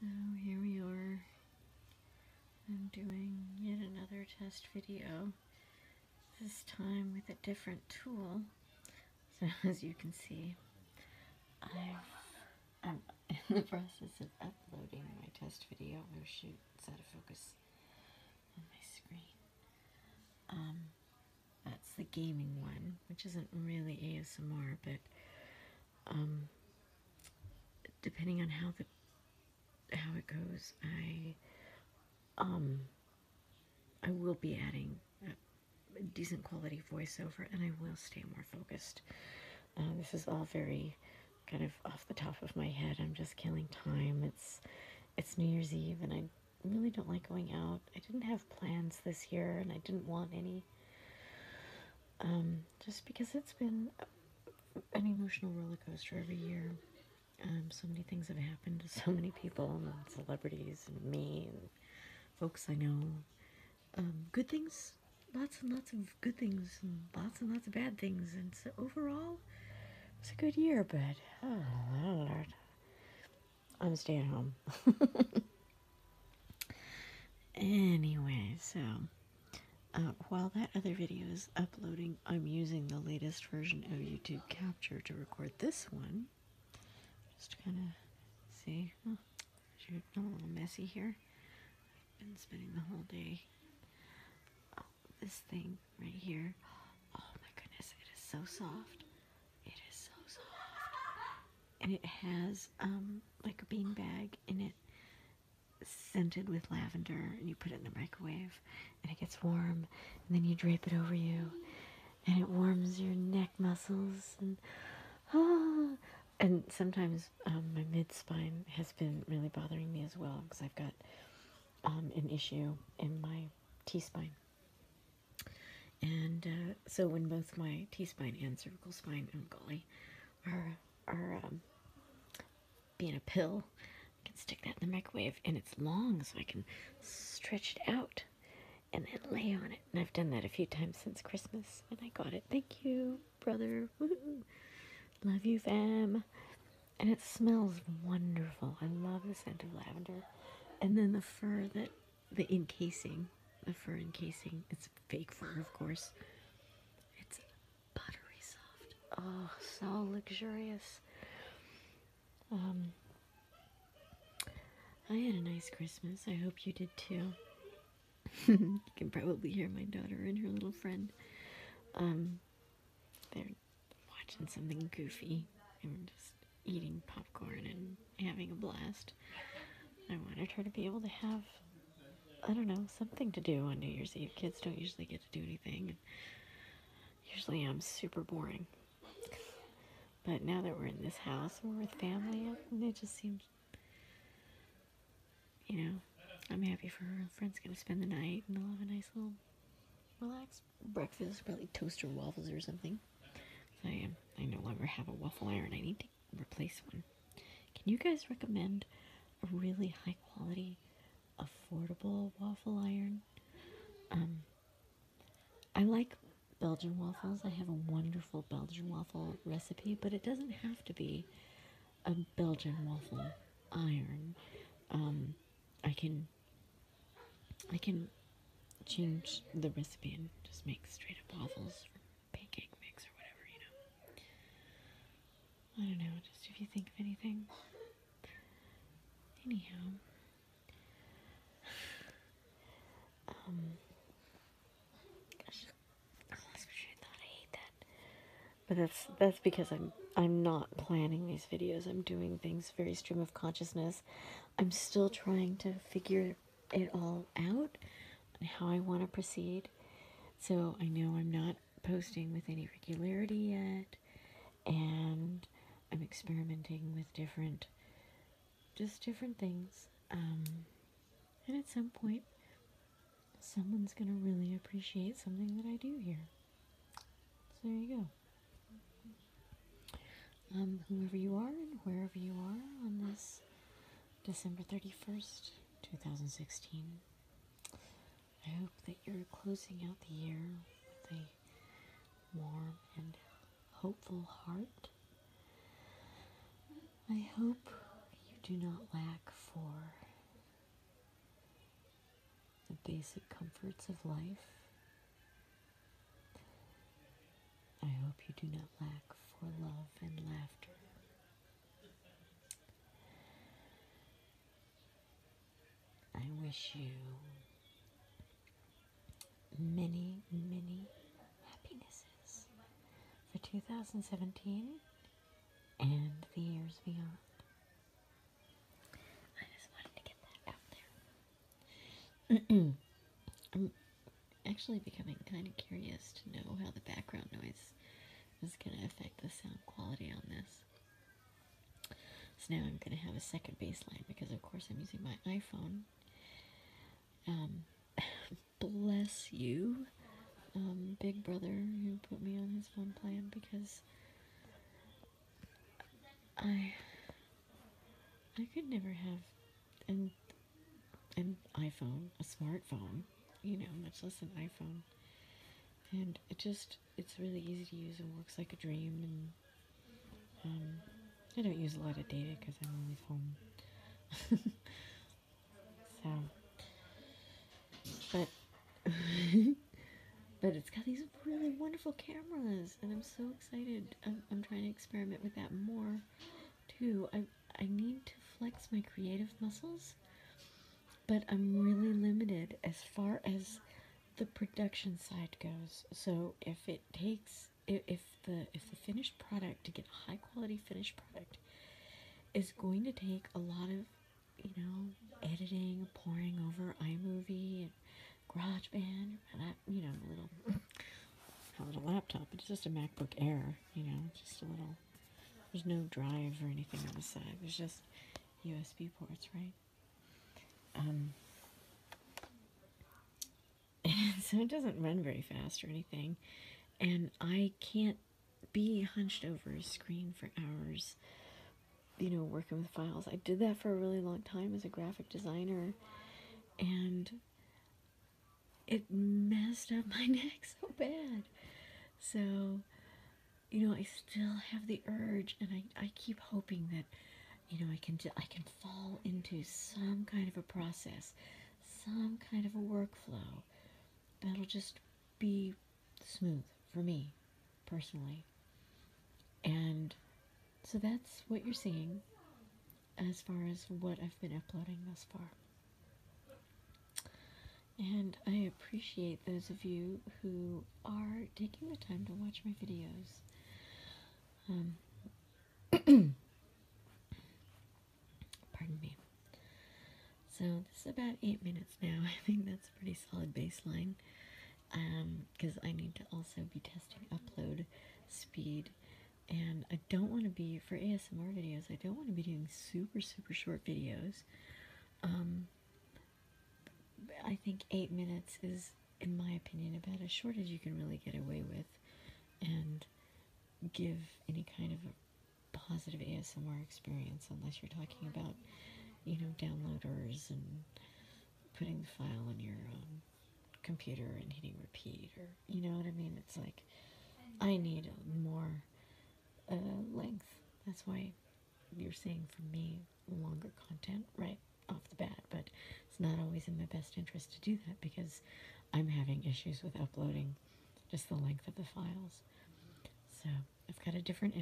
So here we are. I'm doing yet another test video, this time with a different tool. So as you can see, i am in the process of uploading my test video. Oh shoot, it's out of focus on my screen. Um, that's the gaming one, which isn't really ASMR, but um, depending on how the how it goes, I um, I will be adding a decent quality voiceover, and I will stay more focused. Uh, this is all very kind of off the top of my head. I'm just killing time. It's it's New Year's Eve, and I really don't like going out. I didn't have plans this year, and I didn't want any. Um, just because it's been an emotional roller coaster every year. Um, so many things have happened to so many people, and celebrities, and me, and folks I know. Um, good things, lots and lots of good things, and lots and lots of bad things. And so overall, it was a good year, but oh, Lord. I'm stay at home. anyway, so uh, while that other video is uploading, I'm using the latest version of YouTube Capture to record this one. Just kind of see. I'm a little messy here. I've been spending the whole day. this thing right here. Oh my goodness, it is so soft. It is so soft. And it has um, like a bean bag in it, scented with lavender. And you put it in the microwave, and it gets warm. And then you drape it over you, and it warms your neck muscles. And ah, sometimes um, my mid spine has been really bothering me as well because I've got um, an issue in my T spine. And uh, so when both my T-spine and cervical spine, oh golly, are, are um, being a pill, I can stick that in the microwave and it's long so I can stretch it out and then lay on it. And I've done that a few times since Christmas and I got it. Thank you, brother. Love you, fam. And it smells wonderful. I love the scent of lavender. And then the fur that the encasing, the fur encasing. It's fake fur, of course. It's buttery soft. Oh, so luxurious. Um, I had a nice Christmas. I hope you did too. you can probably hear my daughter and her little friend. Um, they're watching something goofy. And just eating popcorn and having a blast. I wanted her to be able to have, I don't know, something to do on New Year's Eve. Kids don't usually get to do anything. usually I'm super boring. But now that we're in this house we're with family, and it just seems, you know, I'm happy for her. Her friend's going to spend the night and they'll have a nice little relaxed breakfast, probably toaster waffles or something. I am. I no longer have a waffle iron. I need to replace one. Can you guys recommend a really high quality, affordable waffle iron? Um, I like Belgian waffles. I have a wonderful Belgian waffle recipe, but it doesn't have to be a Belgian waffle iron. Um, I can I can change the recipe and just make straight up waffles or pancake mix or whatever, you know. I don't know, just if you think of anything. Anyhow. Um gosh. I almost I thought I hate that. But that's that's because I'm I'm not planning these videos. I'm doing things very stream of consciousness. I'm still trying to figure it all out and how I want to proceed. So I know I'm not posting with any regularity yet, and I'm experimenting with different, just different things. Um, and at some point, someone's going to really appreciate something that I do here. So there you go um, whoever you are and wherever you are on this December 31st, 2016. I hope that you're closing out the year with a warm and hopeful heart. I hope you do not lack for the basic comforts of life. I hope you do not lack for love and laughter. I wish you many, many happinesses for 2017 and the years beyond. I just wanted to get that out there. I'm actually becoming kind of curious to know how the background noise is going to affect the sound quality on this. So now I'm going to have a second baseline because, of course, I'm using my iPhone. Um, bless you, um, Big Brother, You put me on his phone plan because I I could never have an an iPhone, a smartphone, you know, much less an iPhone. And it just it's really easy to use and works like a dream and um, I don't use a lot of data because I'm always home. so, but but it's got these really wonderful cameras and I'm so excited. I'm, trying to experiment with that more too. I, I need to flex my creative muscles, but I'm really limited as far as the production side goes. So if it takes if, the if the finished product to get a high quality finished product is going to take a lot of you know editing, poring over iMovie and garage band you know a little a little laptop it's just a macbook air you know just a little there's no drive or anything on the side there's just usb ports right um so it doesn't run very fast or anything and i can't be hunched over a screen for hours you know, working with files. I did that for a really long time as a graphic designer, and it messed up my neck so bad. So, you know, I still have the urge, and I, I keep hoping that, you know, I can I can fall into some kind of a process, some kind of a workflow that'll just be smooth for me, personally. And so that's what you're seeing as far as what I've been uploading thus far. And I appreciate those of you who are taking the time to watch my videos. Um, pardon me. So this is about eight minutes now. I think that's a pretty solid baseline because um, I need to also be testing upload speed. And I don't want to be, for ASMR videos, I don't want to be doing super, super short videos. Um, I think eight minutes is, in my opinion, about as short as you can really get away with and give any kind of positive ASMR experience, unless you're talking about, you know, downloaders and putting the file on your um, computer and hitting repeat or you know what I mean it's like I need more uh, length that's why you're saying for me longer content right off the bat but it's not always in my best interest to do that because I'm having issues with uploading just the length of the files so I've got a different